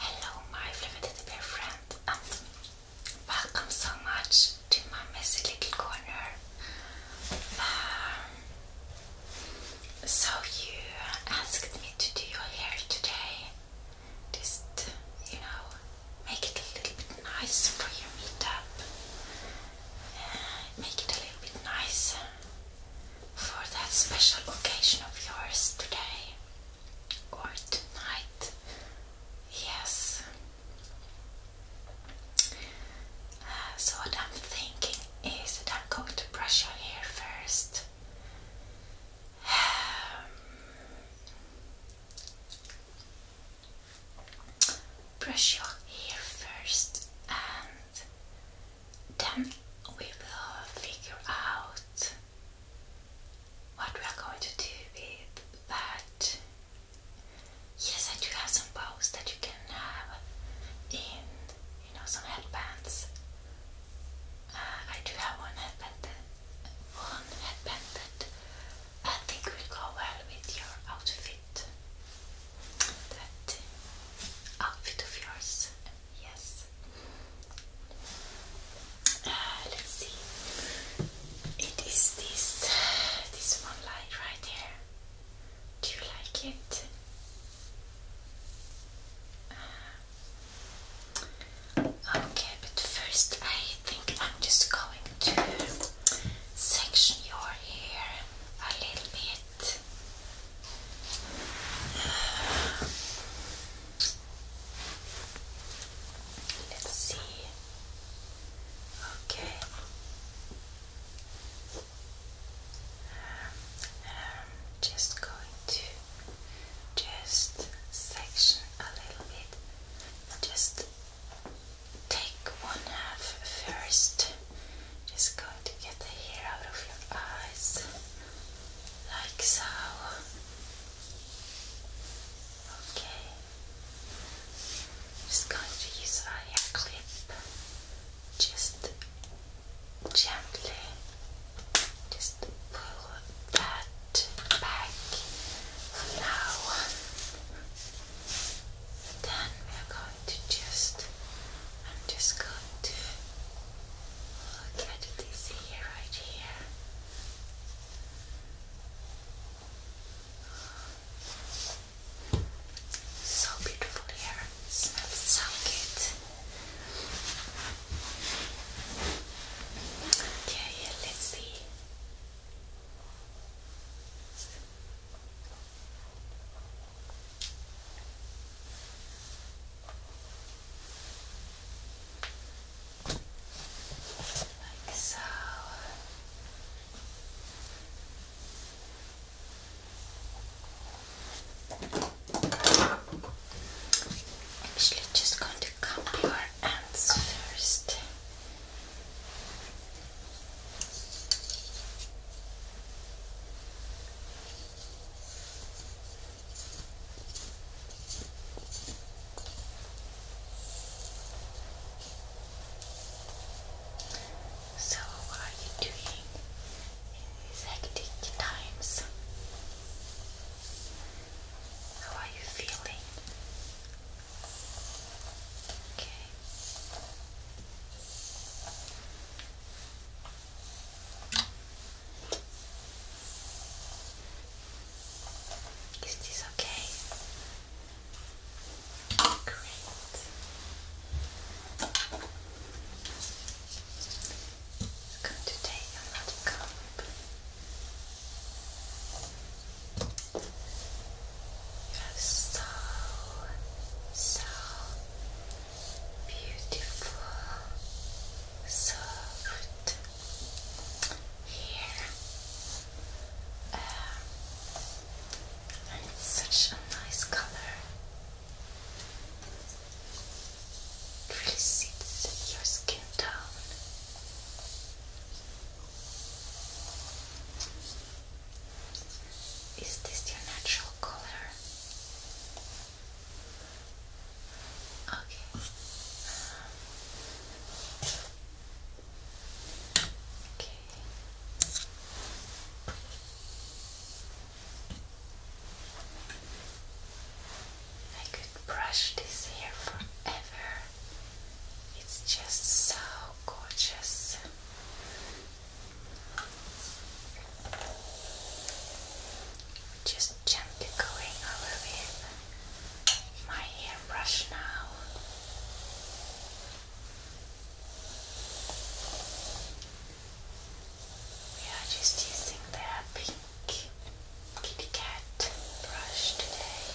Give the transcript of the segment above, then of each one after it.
Hello, my Flimited Bear friend, and welcome so much to my messy little corner. Um, so, you asked me to do your hair today, just you know, make it a little bit nice for your meetup, uh, make it a little bit nice for that special occasion of yours today or tonight. Yes. Uh, so, what I'm thinking is that I'm going to brush your hair first. Um, brush your hair first and then we will figure out what we are going to do with. But yes, I do have some bows that you can have in, you know, some headbands. Uh, I do have one headband, one headband that I think will go well with your outfit. That outfit of yours Yes. Uh, let's see. It is this this one light right here. Do you like it? Uh, okay, but first I think I'm just going to section your hair a little bit. Let's see. Okay. I'm um, just going to just section a little bit. Just take one half first. Just going to get the hair out of your eyes like so. Okay, just going to use a clip, just gently, just pull that back now. Then we are going to just, I'm just going to I'll try to this here, right here. So beautiful here. smells so good. Okay, let's see. Like so. Actually, just going to cup your ends first. So, what are you doing in these hectic times? How are you feeling? Okay. Is this okay? Great. It's going to take a lot of comb. so, so beautiful, soft hair. Um, and such a nice color. It really sits your skin down. Is this your natural color? Okay. Okay. I could brush this hair forever. It's just so gorgeous. Just gently going over my hairbrush now. We are just using the pink kitty cat brush today.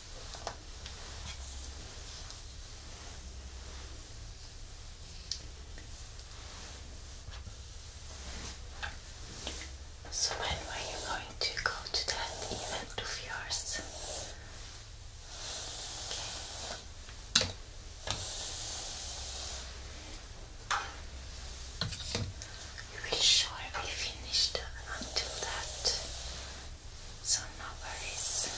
So when were you going to go to that event of yours? will surely finish until that so no worries.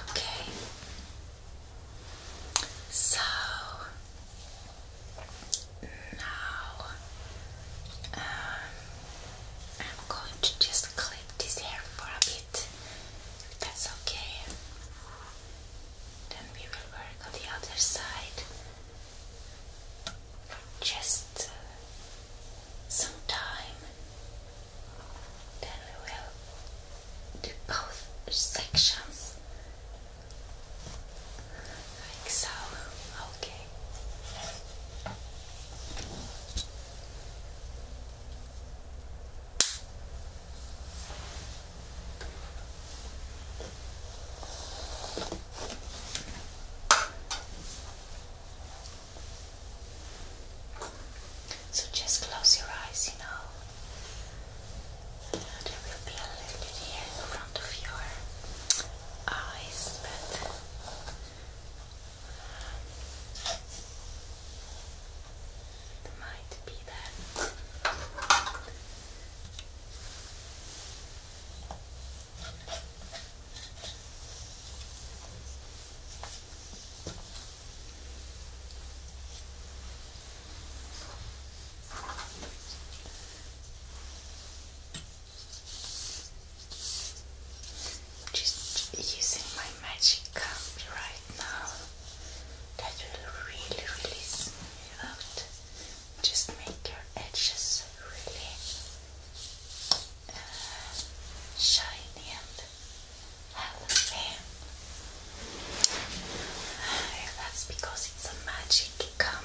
Okay, so now um, I'm going to just clip this hair for a bit. that's okay. Then we will work on the other side just uh, some time. Then we will do both sections. Like so. Okay. So just close your eyes, you know. there will be a little in front of your eyes, but it might be that. Just using my magic comb right now. That will really release out. Just make your edges really uh, shiny and healthy. Ah, that's because it's a magic comb.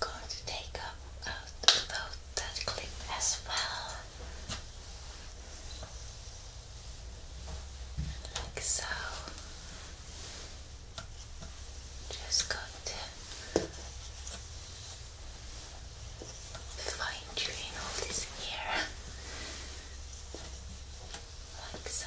Going to take out uh, both that clip as well, like so. Just got to fine tune all this here, like so.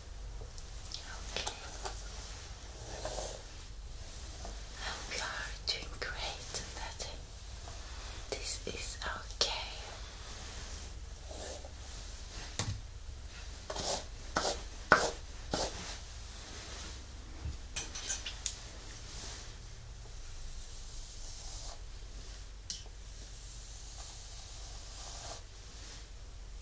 Okay. I hope you are doing great that this is Okay.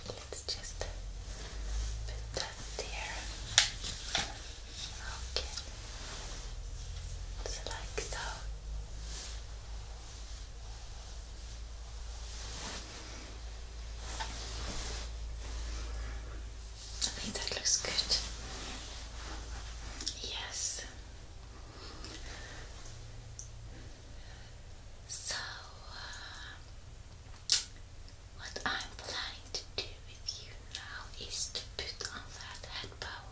Okay, let's just put that there. Okay, just like so. I think that looks good. Yes. So, uh, what I'm planning to do with you now is to put on that head bow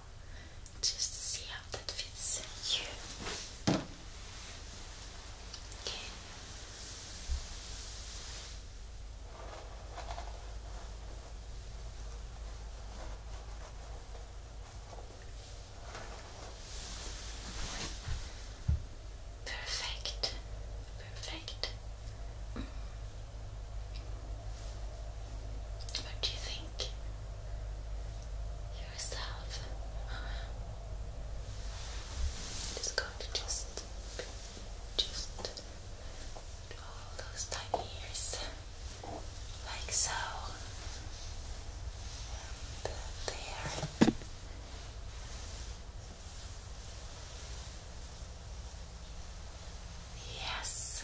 just see how that fits you. Okay. Perfect. Perfect. What do you think? Yourself. Just going just, just all those tiny ears, like so. there. Yes.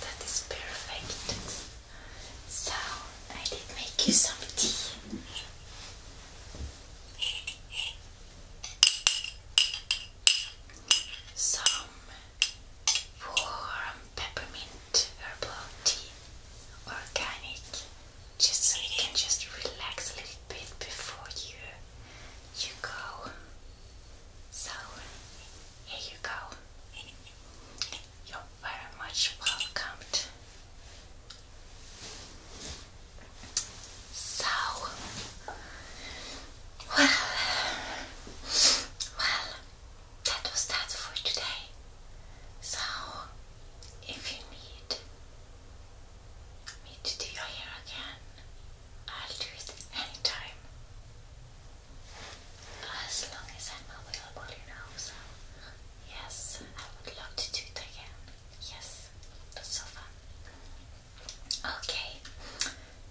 That is perfect. So, I did make you some tea some warm peppermint herbal tea, organic, just so you can just relax a little bit before you you go. So here you go. You're very much welcomed so, well, well, that was that for today. So, if you need me to do your hair again, I'll do it anytime. As long as I'm available, you know. yes, I would love to do it again. Yes, that's so Okay,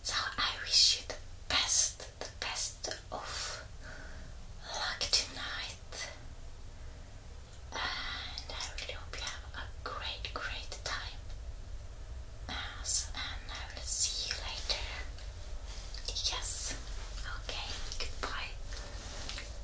so I wish you the best, the best of luck tonight. And I really hope you have a great, great time. and I will see you later. Yes, okay, goodbye.